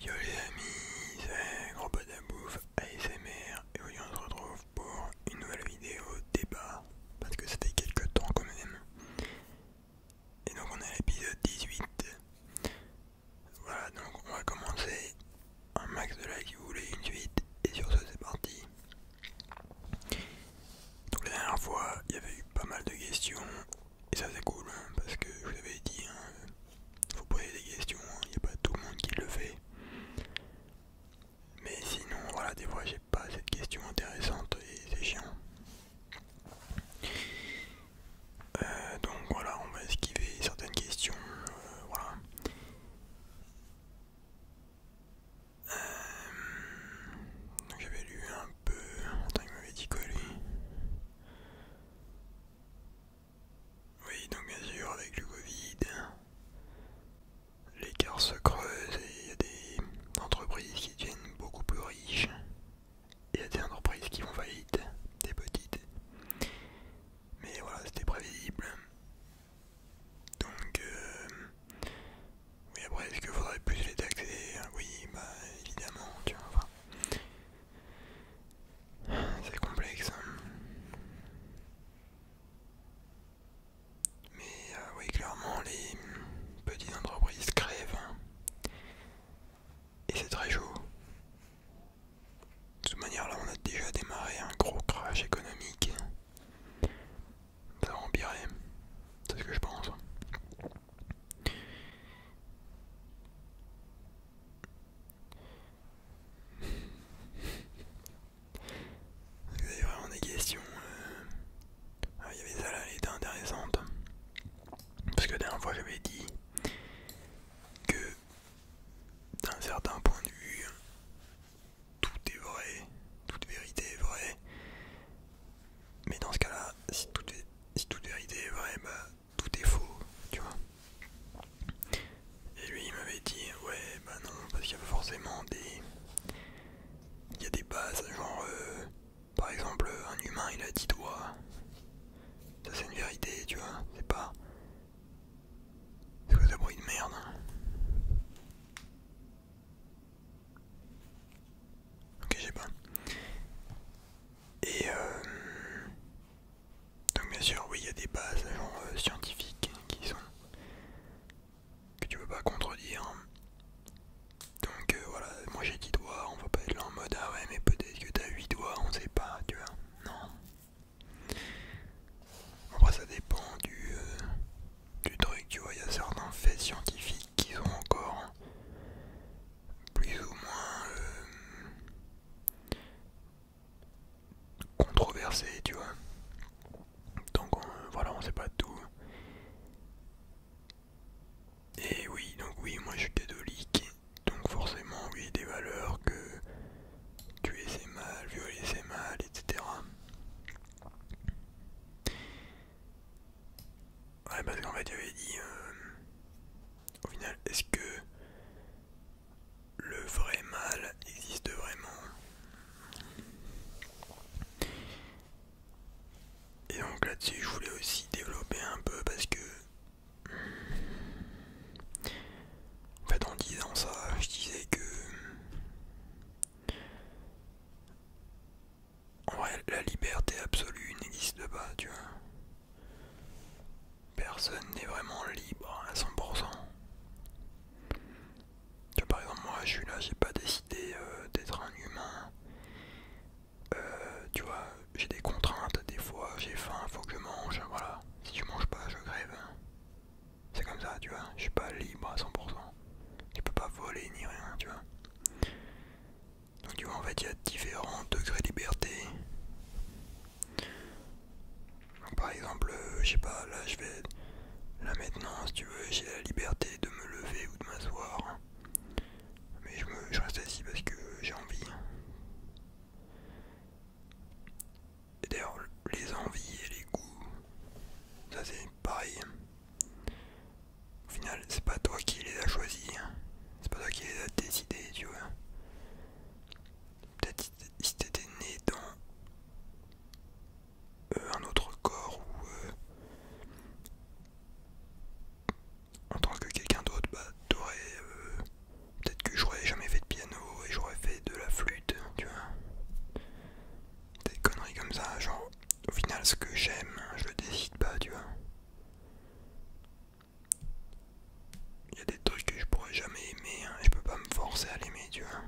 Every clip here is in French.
Yo les amis, c'est Gros de Bouffe ASMR et aujourd'hui on se retrouve pour une nouvelle vidéo débat parce que ça fait quelques temps quand même. Et donc on est à l'épisode 18. Voilà donc on va commencer un max de like si vous voulez une suite et sur ce c'est parti. Donc la dernière fois il y avait eu pas mal de questions et ça c'est cool hein, parce que je vous avais dit, hein, faut poser des questions, il hein, n'y a pas tout le monde qui le fait. Mais sinon voilà des fois j'ai pas cette question intéressante et c'est chiant. Euh, donc voilà, on va esquiver certaines questions. Euh, voilà. Euh, j'avais lu un peu. en il m'avait dit oui, donc bien sûr, avec le Covid, l'écart se creuse et il y a des entreprises qui deviennent beaucoup plus riches. Il y a des entreprises qui vont faillite, des petites. Mais voilà, c'était prévisible. Donc, euh, oui, après, est-ce qu'il faudrait plus les taxer Oui, bah évidemment, tu vois. Enfin, c'est complexe. Hein. Mais euh, oui, clairement, les petites entreprises crèvent. Hein. Et c'est très chaud. De toute manière, là, on a déjà démarré un gros crash économique. Ça va empirer. C'est ce que je pense. Vous avez vraiment des questions. Euh. Ah, il y avait ça là, elle était intéressante. Parce que la dernière fois j'avais dit que d'un certain point de vue, tout est vrai, toute vérité est vraie. Mais dans ce cas-là, si toute, si toute vérité est vraie, bah, tout est faux, tu vois. Et lui, il m'avait dit, ouais, bah non, parce qu'il y a forcément des. Il y a des bases, genre, euh, par exemple, un humain il a dit toi. Ça, c'est une vérité, tu vois, c'est pas. C'est quoi ce bruit de merde Ok, j'ai pas. Et euh, donc bien sûr, oui, il y a des bases euh, scientifiques qui sont que tu peux pas contredire. Donc euh, voilà, moi j'ai 10 doigts, on va pas être là en mode ah ouais mais peut-être que t'as 8 doigts, on sait pas, tu vois. Non. Après ça dépend du, du truc, tu vois, il y a certains faits scientifiques qui sont encore plus ou moins euh, controversé, tu vois. Donc voilà, on sait pas tout. Et oui, donc oui, moi je suis catholique, donc forcément, oui, des valeurs que tuer c'est mal, violer c'est mal, etc. Ouais, parce qu'en fait, j'avais dit. Euh, au final, est-ce que le vrai mal existe vraiment Et donc là-dessus, je voulais aussi développer un peu parce que. En fait, en disant ça, je disais que. En vrai, la liberté absolue n'existe pas, tu vois. Personne n'est vraiment libre à 100%. Tu vois, par exemple, moi je suis là, j'ai pas décidé euh, d'être un humain. Euh, tu vois, j'ai des contraintes, des fois j'ai faim, il faut que je mange, voilà. Si je mange pas, je grève. C'est comme ça, tu vois, je suis pas libre à 100%. Tu peux pas voler ni rien, tu vois. Donc en fait, il y a différents degrés de liberté. par exemple, euh, je sais pas, là je vais. la maintenant, si tu veux, j'ai la liberté de me lever ou de m'asseoir. Mais je, me, je reste assis parce que j'ai envie. Et d'ailleurs, les envies et les goûts, ça c'est pareil. Au final, c'est pas toi qui les a choisis, hein. c'est pas toi qui les as décidés, tu vois. Peut-être si t'étais né dans euh, un autre corps ou euh, en tant que quelqu'un d'autre, bah t'aurais. Euh, peut-être que j'aurais jamais fait de piano et j'aurais fait de la flûte, tu vois. Des conneries comme ça, genre au final ce que j'aime, je le décide pas, tu vois. Il y a des trucs que je pourrais jamais aimer, hein. je peux pas me forcer à l'aimer, tu vois.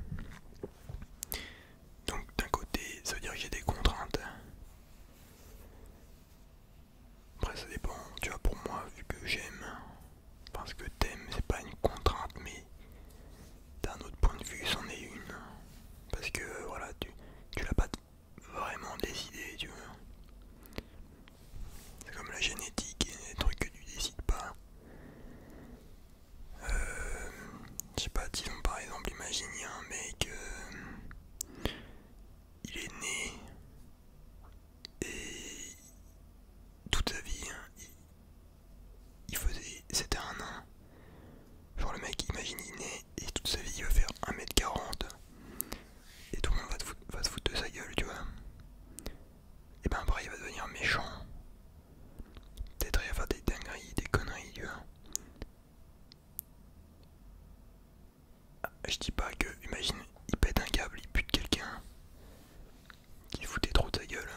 Donc d'un côté, ça veut dire que j'ai des contraintes. Après ça dépend, tu vois, pour moi, vu que j'aime, parce que t'aimes, c'est pas une contrainte, mais d'un autre point de vue, c'en est une. Parce que voilà, tu, l'as pas vraiment décidé tu vois. C'est comme la génétique, et des trucs que tu décides pas. Euh, je sais pas, disons par exemple, imagine un mec, euh, il est né et toute sa vie, hein, il, faisait, c'était un nain. Genre le mec, imagine il est né et toute sa vie il veut faire 1m40 et tout le monde va, se foutre de sa gueule, tu vois. Et ben après il va devenir méchant. Peut-être il va faire des dingueries, des conneries, tu vois. Ah, je dis pas que, imagine, il pète un câble, il pute quelqu'un qui foutait trop de sa gueule.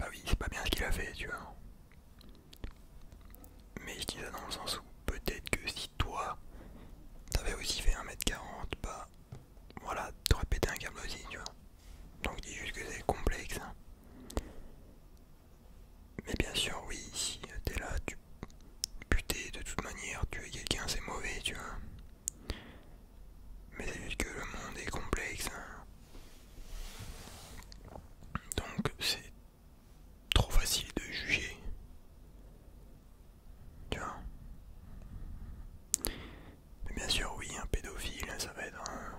Ah oui, c'est pas bien ce qu'il a fait, tu vois. Mais je dis ça dans le sens où peut-être que si toi, t'avais aussi fait 1m40, bah voilà, t'aurais pété un câble aussi, tu vois. Donc dis juste que c'est complexe. Hein. Mais bien sûr, oui, si t'es là, tu putais de toute manière, tuer quelqu'un c'est mauvais, tu vois. Mais c'est juste que le monde est complexe. Hein. Donc c'est trop facile de juger. Tu vois Mais bien sûr, oui, un pédophile, ça va être un.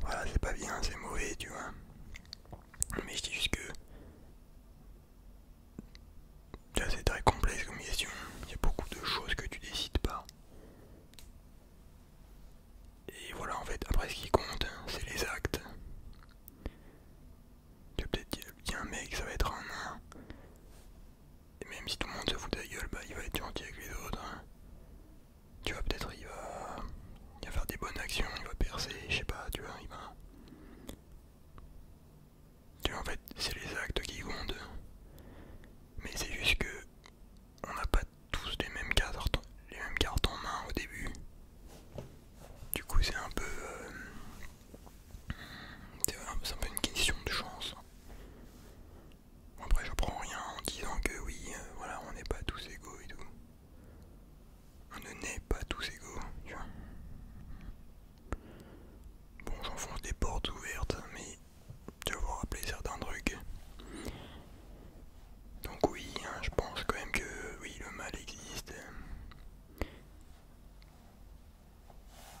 Voilà, c'est pas bien, c'est mauvais, tu vois. Mais je dis juste que. C'est très complexe comme question. Il y a beaucoup de choses que tu décides pas. Et voilà, en fait, après ce qui compte, hein, c'est les actes. Tu vas peut-être dire, un mec, ça va être un nain. Et même si tout le monde se fout de gueule, bah il va être gentil avec les autres. Hein. Tu vois, peut-être il va... faire des bonnes actions, il va percer, je sais pas, tu vois, il va... Tu vois, en fait, c'est les actes qui comptent. Mais c'est juste que on n'a pas tous les mêmes cartes, les mêmes cartes en main au début. Du coup, c'est un peu, euh, c'est une question de chance. après, je prends rien en disant que oui, euh, voilà, on n'est pas tous égaux et tout. On ne naît pas tous égaux, tu vois. Bon, j'enfonce des portes ouvertes, mais vous rappeler certains trucs. Donc oui, hein, je pense quand même que oui, le mal existe.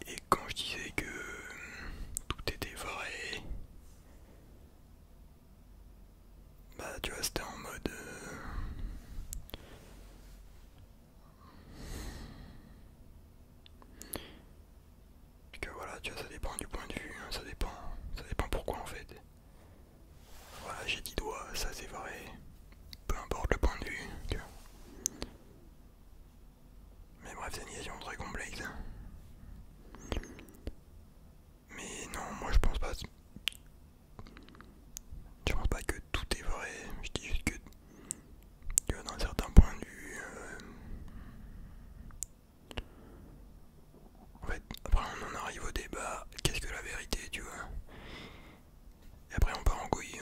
Et quand je disais que hum, tout était vrai, bah tu vois, c'était en mode... Parce euh, Que voilà, tu vois, ça dépend du point de vue, hein, ça dépend, ça dépend pourquoi en fait. Voilà, j'ai dit doigts, ça c'est vrai. Peu importe le point de vue. Mais bref, c'est une question très complexe. Mais non, moi je pense pas. Je pense pas que tout est vrai. Je dis juste que, dans un certain point de vue. Euh, en fait, après on en arrive au débat, qu'est-ce que la vérité, tu vois Et après on part en couille.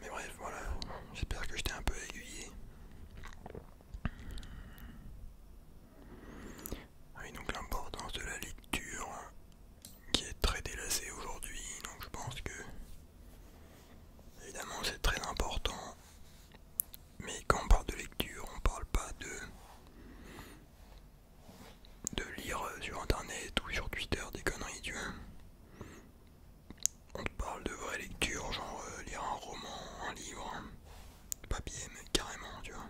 Mais bref, voilà, j'espère que j'étais un peu aiguillé. Ah oui, donc l'importance de la lecture qui est très délacée aujourd'hui, donc je pense que évidemment c'est très important mais quand on parle de lecture, on parle pas de. de lire sur internet ou sur Twitter des conneries, tu vois. On parle de vraie lecture, genre euh, lire un roman, un livre, papier, mais carrément, tu vois.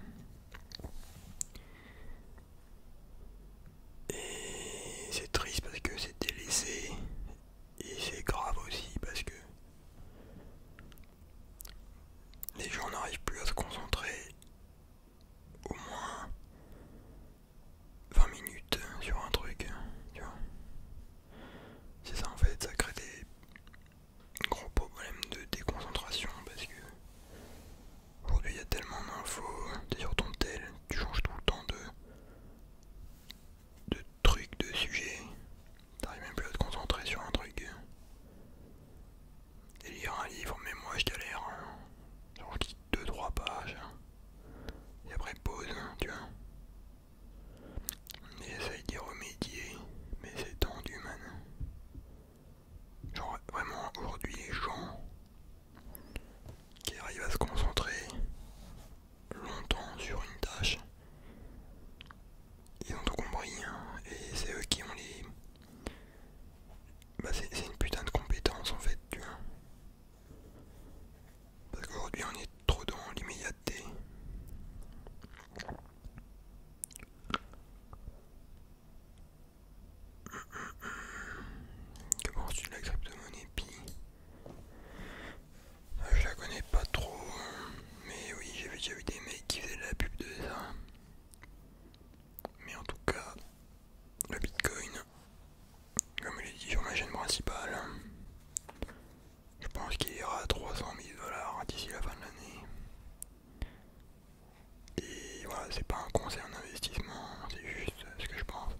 Et c'est triste parce que c'est délaissé. Et c'est grave aussi parce que les gens n'arrivent plus à se concentrer au moins 20 minutes sur un truc, tu vois. C'est ça en fait, ça crée des gros problèmes de déconcentration parce que aujourd'hui il y a tellement d'infos, es sur ton tel, tu changes tout le temps de, de trucs, de sujets, T'arrives même plus à te concentrer sur un truc. Et lire un livre, mais moi je galère. Hein. Genre je 2-3 pages. Hein. Et après pause, hein, tu vois. essaye d'y remédier, mais c'est tendu man. Genre vraiment aujourd'hui les gens qui arrivent à se concentrer longtemps sur une tâche ils ont tout compris hein, et c'est eux qui ont les bah c'est une putain de compétence en fait tu vois parce qu'aujourd'hui on est trop dans l'immédiateté comment tu de la crypto-monnaie Pi je la connais pas trop, euh, mais oui, j'ai déjà vu des mecs qui faisaient de la pub de ça. Mais en tout cas, le bitcoin, comme je l'ai dit sur ma chaîne principale, je pense qu'il ira à 300 000 dollars d'ici la fin de l'année. Et voilà, c'est pas un en d'investissement, c'est juste ce que je pense.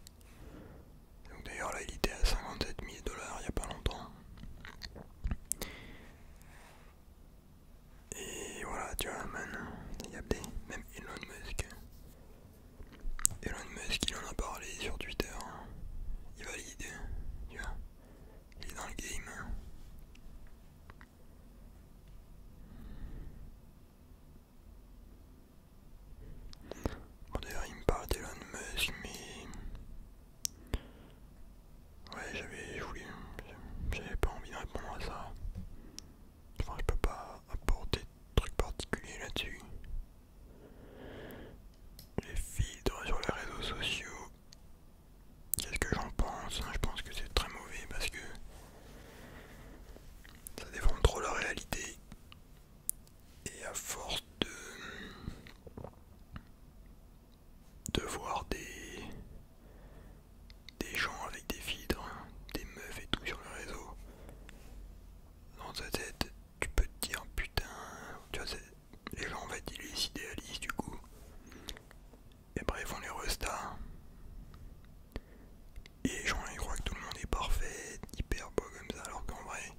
Donc d'ailleurs là il était à 57 000 dollars il n'y a pas longtemps. Et voilà, tu vois, man, il y a des... Même Elon Musk. Elon Musk, il en a parlé sur Twitter. Hein. Il valide, tu vois. Il est dans le game. Bon d'ailleurs il me parle d'Elon Musk mais Ouais, j'avais voulu, j'avais pas envie de répondre à ça. Enfin, je peux pas apporter de trucs particuliers là-dessus. Les filtres sur les réseaux sociaux, qu'est-ce que j'en pense hein? Je pense que c'est très mauvais parce que ça défend trop la réalité. Et à force de de voir des, des gens avec des filtres, des meufs et tout sur le réseau, dans ta tête, tu peux te dire putain, les gens, en fait, ils les idéalisent du coup. Et bref on les resta Et les gens, ils croient que tout le monde est parfait, hyper beau comme ça, alors qu'en vrai,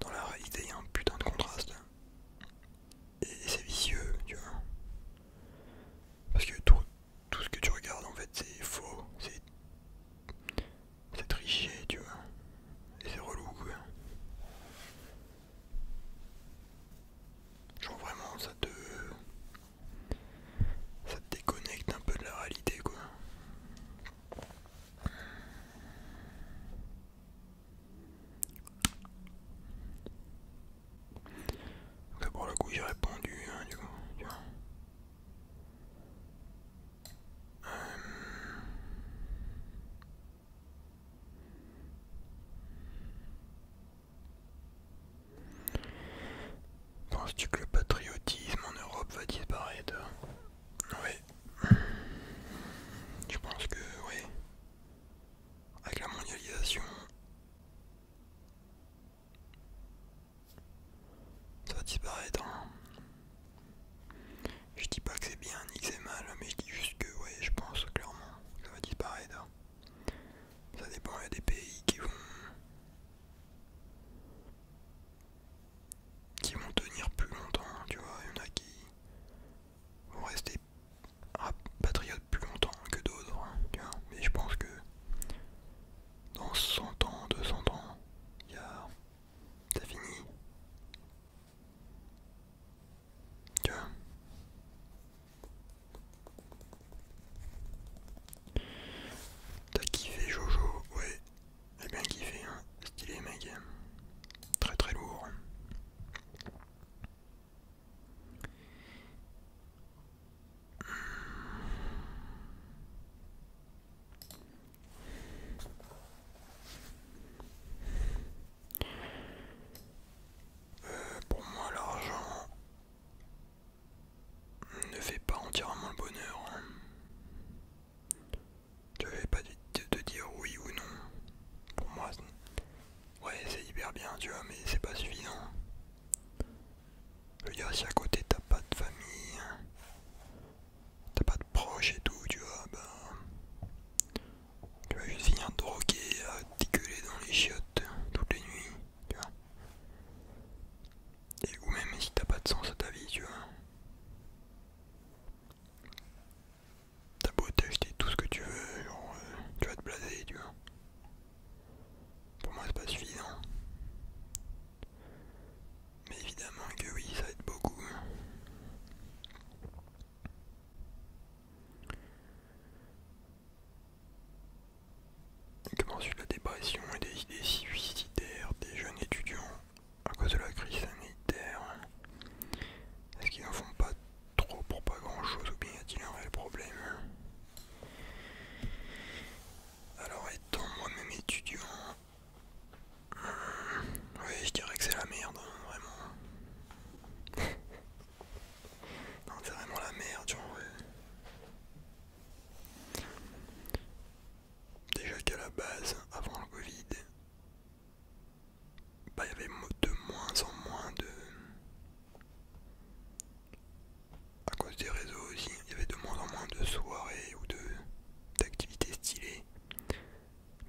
dans la réalité, il y a un putain de contraste et, c'est vicieux, tu vois. Parce que tout, tout ce que tu regardes en fait c'est faux, c'est c'est triché, tu vois. Et c'est relou, quoi. Genre vraiment, ça te... Ça te déconnecte un peu de la réalité, quoi. D'abord le coup j'ai répondu hein, du coup. Tu euh. Penses-tu que le patriotisme en Europe va disparaître oui. Je pense que oui. Avec la mondialisation, ça va disparaître. Je dis pas que c'est bien ni que c'est mal, mais je dis juste que ouais, je pense clairement que ça va disparaître. Ça dépend, il y a des pays qui vont qui vont tenir plus longtemps, tu vois, il y en a qui vous restez patriote plus longtemps que d'autres, hein, Mais je pense que dans 100 ans, 200 ans, y t'as fini. Tu T'as kiffé Jojo, ouais. Eh bien kiffé, un hein. stylé mec. Très très lourd. Euh, pour moi l'argent ne fait pas entièrement le bonheur. Hein. Tu vais pas te dire oui ou non. Pour moi, ouais, c'est hyper bien, tu vois, mais c'est pas suffisant. Je veux dire, si à côté t'as pas de famille, t'as pas de proches et tout, tu vois, bah, Tu vas juste finir drogué à dans les chiottes toutes les nuits, tu vois. Et ou même si t'as pas de sens à ta vie, tu vois. T'as beau t'acheter tout ce que tu veux, genre euh, tu vas te blaser, tu vois. Pour moi c'est pas suffisant. Mais évidemment que oui, ça aide beaucoup. Comment sur la dépression et des idées suicidaires des jeunes étudiants à cause de la crise sanitaire. Est-ce qu'ils en font pas trop pour pas grand-chose ou bien y a-t-il un réel problème Alors étant moi-même étudiant, hmm, oui je dirais que c'est la merde, hein, vraiment. non c'est vraiment la merde, genre. Déjà qu'à la base, avant le Covid, bah, y avait de moins en moins de. À cause des réseaux aussi, il y avait de moins en moins de soirées ou d'activités stylées.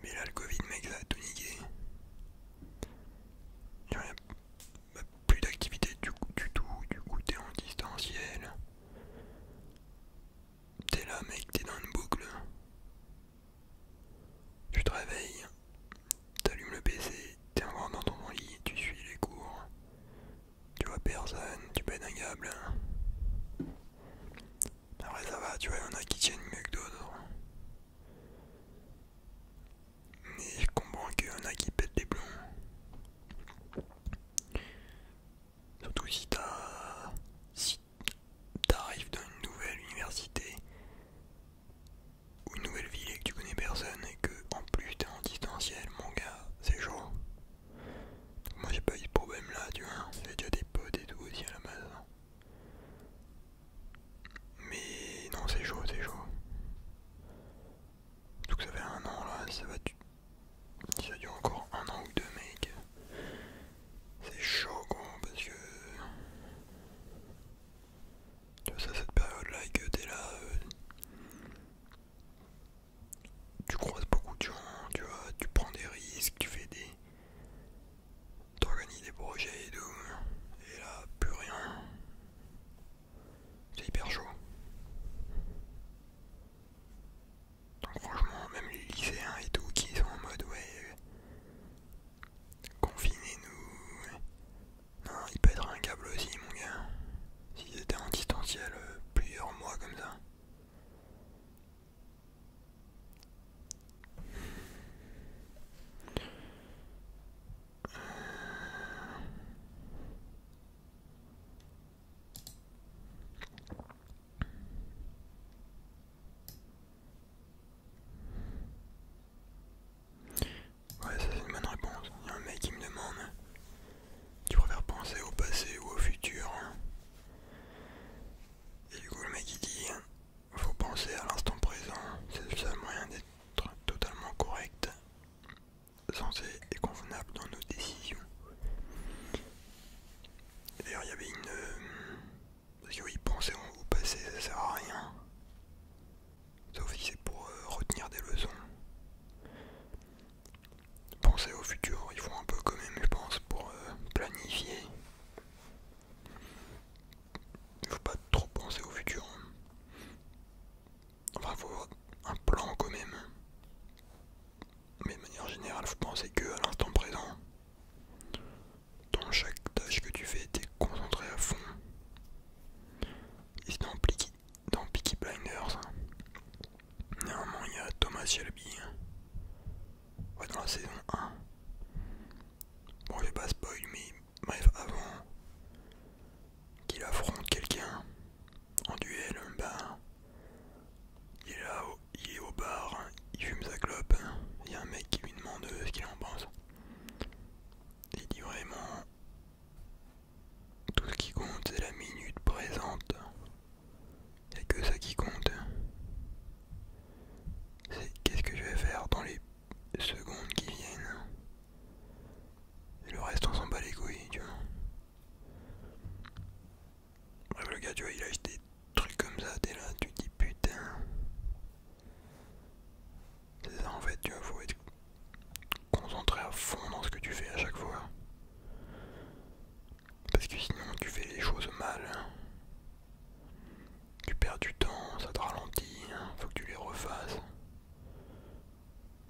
Mais là, le Covid, mec, ça a Il n'y a bah, plus d'activité du, du tout, du coup, t'es en distanciel. T'es là, mec, t'es dans une boucle. Tu te réveilles, t'allumes le PC, t'es encore dans ton lit, tu suis les cours. Tu vois personne, tu pènes un câble. Après ça va, tu vois, il y en a qui tiennent mieux que d'autres. Mais je comprends qu'il y en a qui pètent des plombs. Surtout si t'arrives dans une nouvelle université ou une nouvelle ville et que tu connais personne et que en plus t'es en distanciel, mon gars, c'est chaud. Moi j'ai pas eu de problème là, tu vois, j'ai déjà des potes et tout aussi à la base. Mais non, c'est chaud, c'est chaud. Surtout que ça fait un an là, ça va. Ça dure encore un an ou deux, mec. C'est chaud quoi parce que tu vois cette période là et que t'es là euh, tu croises beaucoup de gens, tu vois, tu prends des risques, tu fais des. t'organises des projets et tout, et là plus rien. C'est hyper chaud franchement, même les lycéens et tout qui sont en mode ouais, euh, confinez-nous. Non, il être un câble aussi, mon gars. S'ils étaient en distanciel euh, plusieurs mois comme ça. Ouais, ça c'est une bonne réponse. Il y a un mec qui me demande Tu préfères penser au passé ou au futur Et du coup, le mec il dit Faut penser à l'instant présent, c'est le seul moyen d'être totalement correct, sensé et convenable dans nos décisions. D'ailleurs, il y avait une. Euh, parce que oui, penser au passé, ça sert à rien. Sauf si c'est pour euh, retenir des leçons. Penser au futur, il faut un peu quand même, je pense, pour euh, planifier. Il faut pas trop penser au futur. Enfin, il faut avoir un plan quand même. Mais de manière générale, faut penser que à l'instant présent. Dans chaque tâche que tu fais, t'es concentré à fond. Et dans dans Peaky Blinders, hein. néanmoins il y a Thomas Shelby. Hein. dans la saison 1. Bon, je vais pas spoil, mais bref, avant qu'il affronte quelqu'un en duel, bah il est là, il est au bar, il fume sa clope, il y a un mec qui lui demande ce qu'il en pense. Il dit vraiment tout ce qui compte c'est la minute présente. c'est que ça qui compte. C'est qu'est-ce que je vais faire dans les secondes qui viennent. Et le reste on s'en bat les couilles, tu vois. Bref, le gars, tu vois, il a des trucs comme ça, t'es là, tu te dis putain. C'est ça en fait, tu vois, faut être concentré à fond dans ce que tu fais à chaque fois. Parce que sinon, tu fais les choses mal. Hein. Tu perds du temps, ça te ralentit, hein, faut que tu les refasses.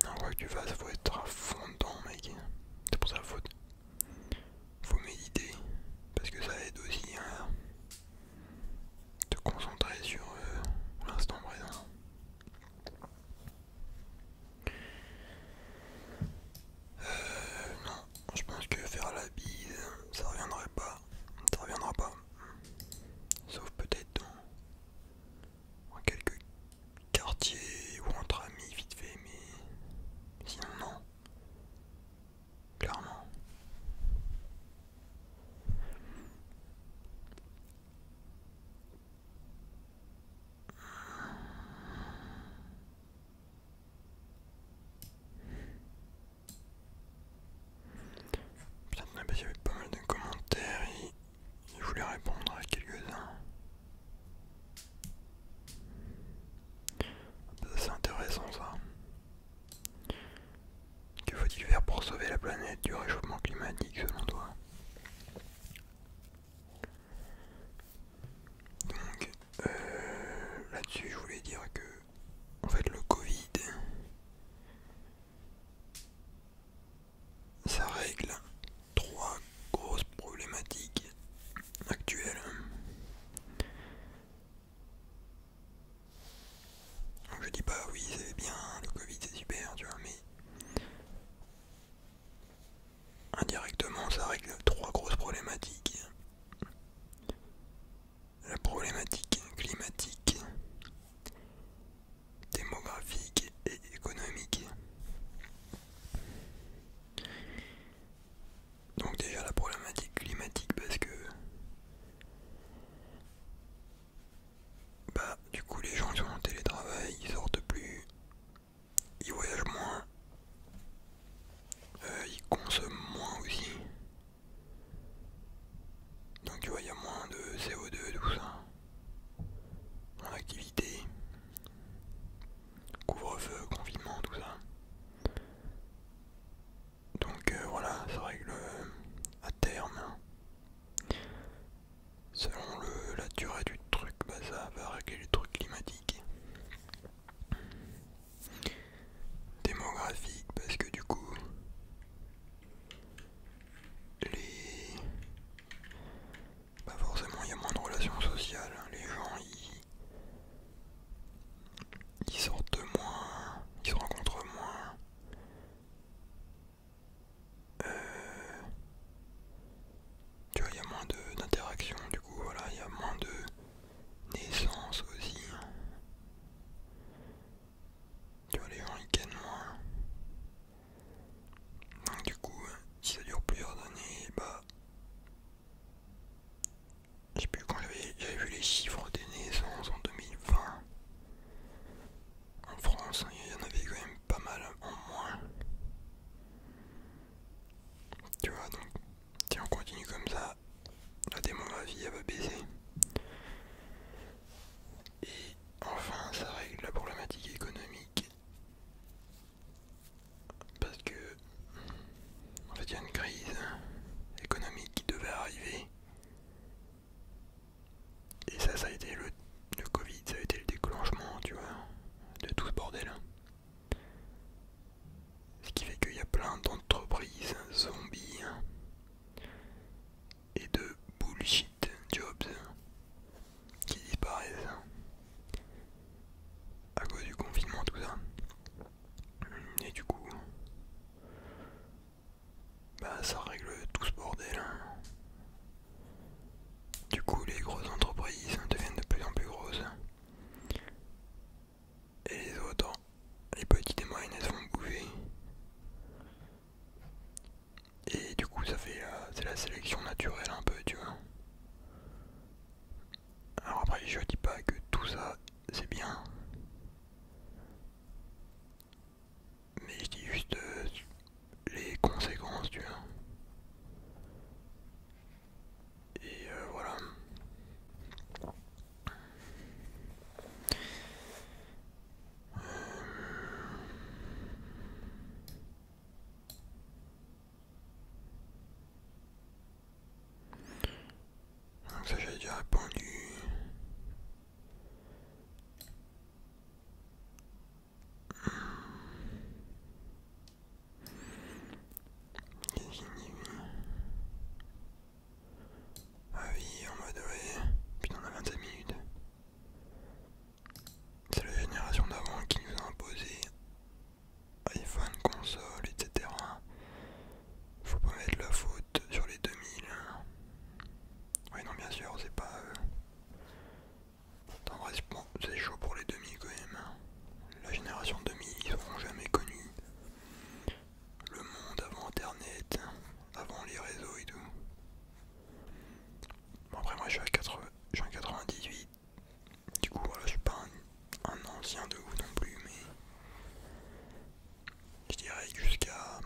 Non, quoi que tu fasses, faut être à fond dedans, mec. C'est pour ça, faute faut méditer parce que ça aide aussi à te concentrer sur euh, l'instant présent. Euh, non, je pense que faire la bise, ça reviendrait pas, ça reviendra pas, sauf peut-être dans, dans quelques quartiers ou entre amis vite fait, mais sinon non. Clairement. il y avait pas mal de commentaires, et il voulait répondre à quelques-uns. C'est intéressant ça. Que faut-il faire pour sauver la planète du réchauffement climatique selon toi Donc euh, là-dessus je voulais dire que fait le Covid ça règle trois grosse problématique actuelle. je dis pas oui c'est bien, le Covid c'est super, tu vois, mais indirectement ça règle trois grosses problématiques. La problématique climatique, démographique et économique. Donc déjà la problématique climatique parce que bah du coup les gens ils sont en télétravail, ils sortent plus, ils voyagent moins, euh, ils consomment moins aussi. Donc tu vois il y a moins de CO2 tout ça. en activité couvre-feu, confinement, tout ça. Donc euh, voilà, ça règle euh, à terme, selon le, la durée du truc, bah, ça va régler les trucs climatiques. Démographique, parce que du coup, les... Bah, forcément il y a moins de relations sociales, les gens ils ils sortent moins, ils se rencontrent moins. Euh, tu vois, il y a moins d'interactions, du coup, voilà, il y a moins de naissance aussi. Tu vois, les gens ils gagnent moins. Donc, du coup, si ça dure plusieurs années, bah, je sais plus quand j'avais vu les chiffres des naissances en 2020. En France, hein, il y en avait quand même pas mal en moins. Tu vois, donc si on continue comme ça, la démographie va baisser. Et enfin, ça règle la problématique économique parce que en fait il y a une crise économique qui devait arriver. Et ça ça a été le, le Covid, ça a été le déclenchement, tu vois, de tout ce bordel. Ce qui fait qu'il y a plein d'entreprises zombies et de bullshit jobs qui disparaissent à cause du confinement, tout ça. Et du coup, bah ça règle tout ce bordel. Hein. Du coup, les grosses entreprises deviennent de plus en plus grosses. Et les autres, les petites et moyennes, elles vont bouffer Et du coup, ça fait c'est la sélection naturelle un peu, tu vois. Alors après, je dis pas que tout ça c'est bien, mais je dis juste euh, les conséquences, tu vois. Et euh, voilà. Euh, donc ça j'ai déjà répondu. Ah oui, on va adorer. Putain, on a 25 minutes. C'est la génération d'avant qui nous a imposé iPhone, console, etc. Faut pas mettre la faute sur les 2000. Oui, non, bien sûr, c'est pas. Euh, en Bon, c'est chaud pour les 2000 quand même. Hein. La génération 2000, ils seront jamais connu le monde avant internet, avant les réseaux et tout. Bon, après, moi je suis, à je suis en 98, du coup, voilà, je suis pas un, ancien de vous non plus, mais je dirais jusqu'à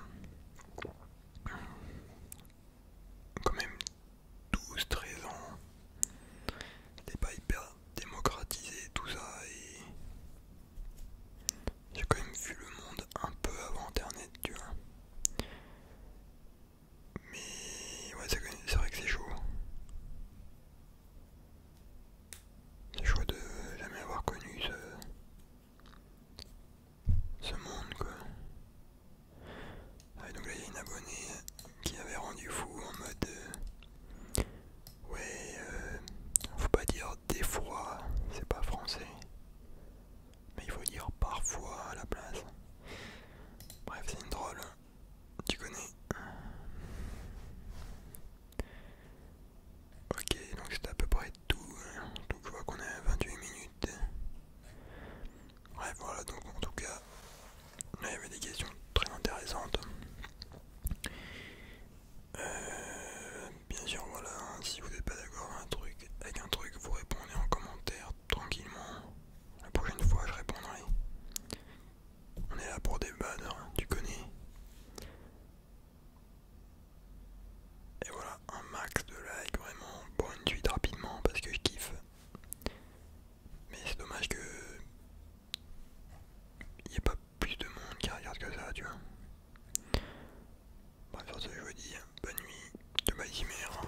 quand même 12-13 ans. C'était pas hyper démocratisé tout ça et j'ai quand même vu le monde un peu avant internet, tu vois. Mais ouais, c'est vrai que c'est chaud. C'est chaud de jamais avoir connu ce, monde quoi. donc là il y a une abonnée qui avait rendu fou en mode euh, ouais euh, faut pas dire des fois c'est pas français mais il faut dire parfois à la place. Bref c'est une drôle tu connais Ok, donc c'est à peu près tout. Hein. Donc je vois qu'on est à 28 minutes. Bref, voilà, donc en tout cas, il y avait des questions très intéressantes. Euh, bien sûr, voilà, hein, si vous n'êtes pas d'accord un truc, avec un truc, vous répondez en commentaire tranquillement. La prochaine fois, je répondrai. On est là pour des bannes, hein, tu connais. Et voilà, un max de likes, vraiment, pour une suite rapidement, parce que je kiffe. Mais c'est dommage que... Il n'y ait pas plus de monde qui regarde que ça, tu vois. Bref, sur ce, je vous dis, bonne nuit de ma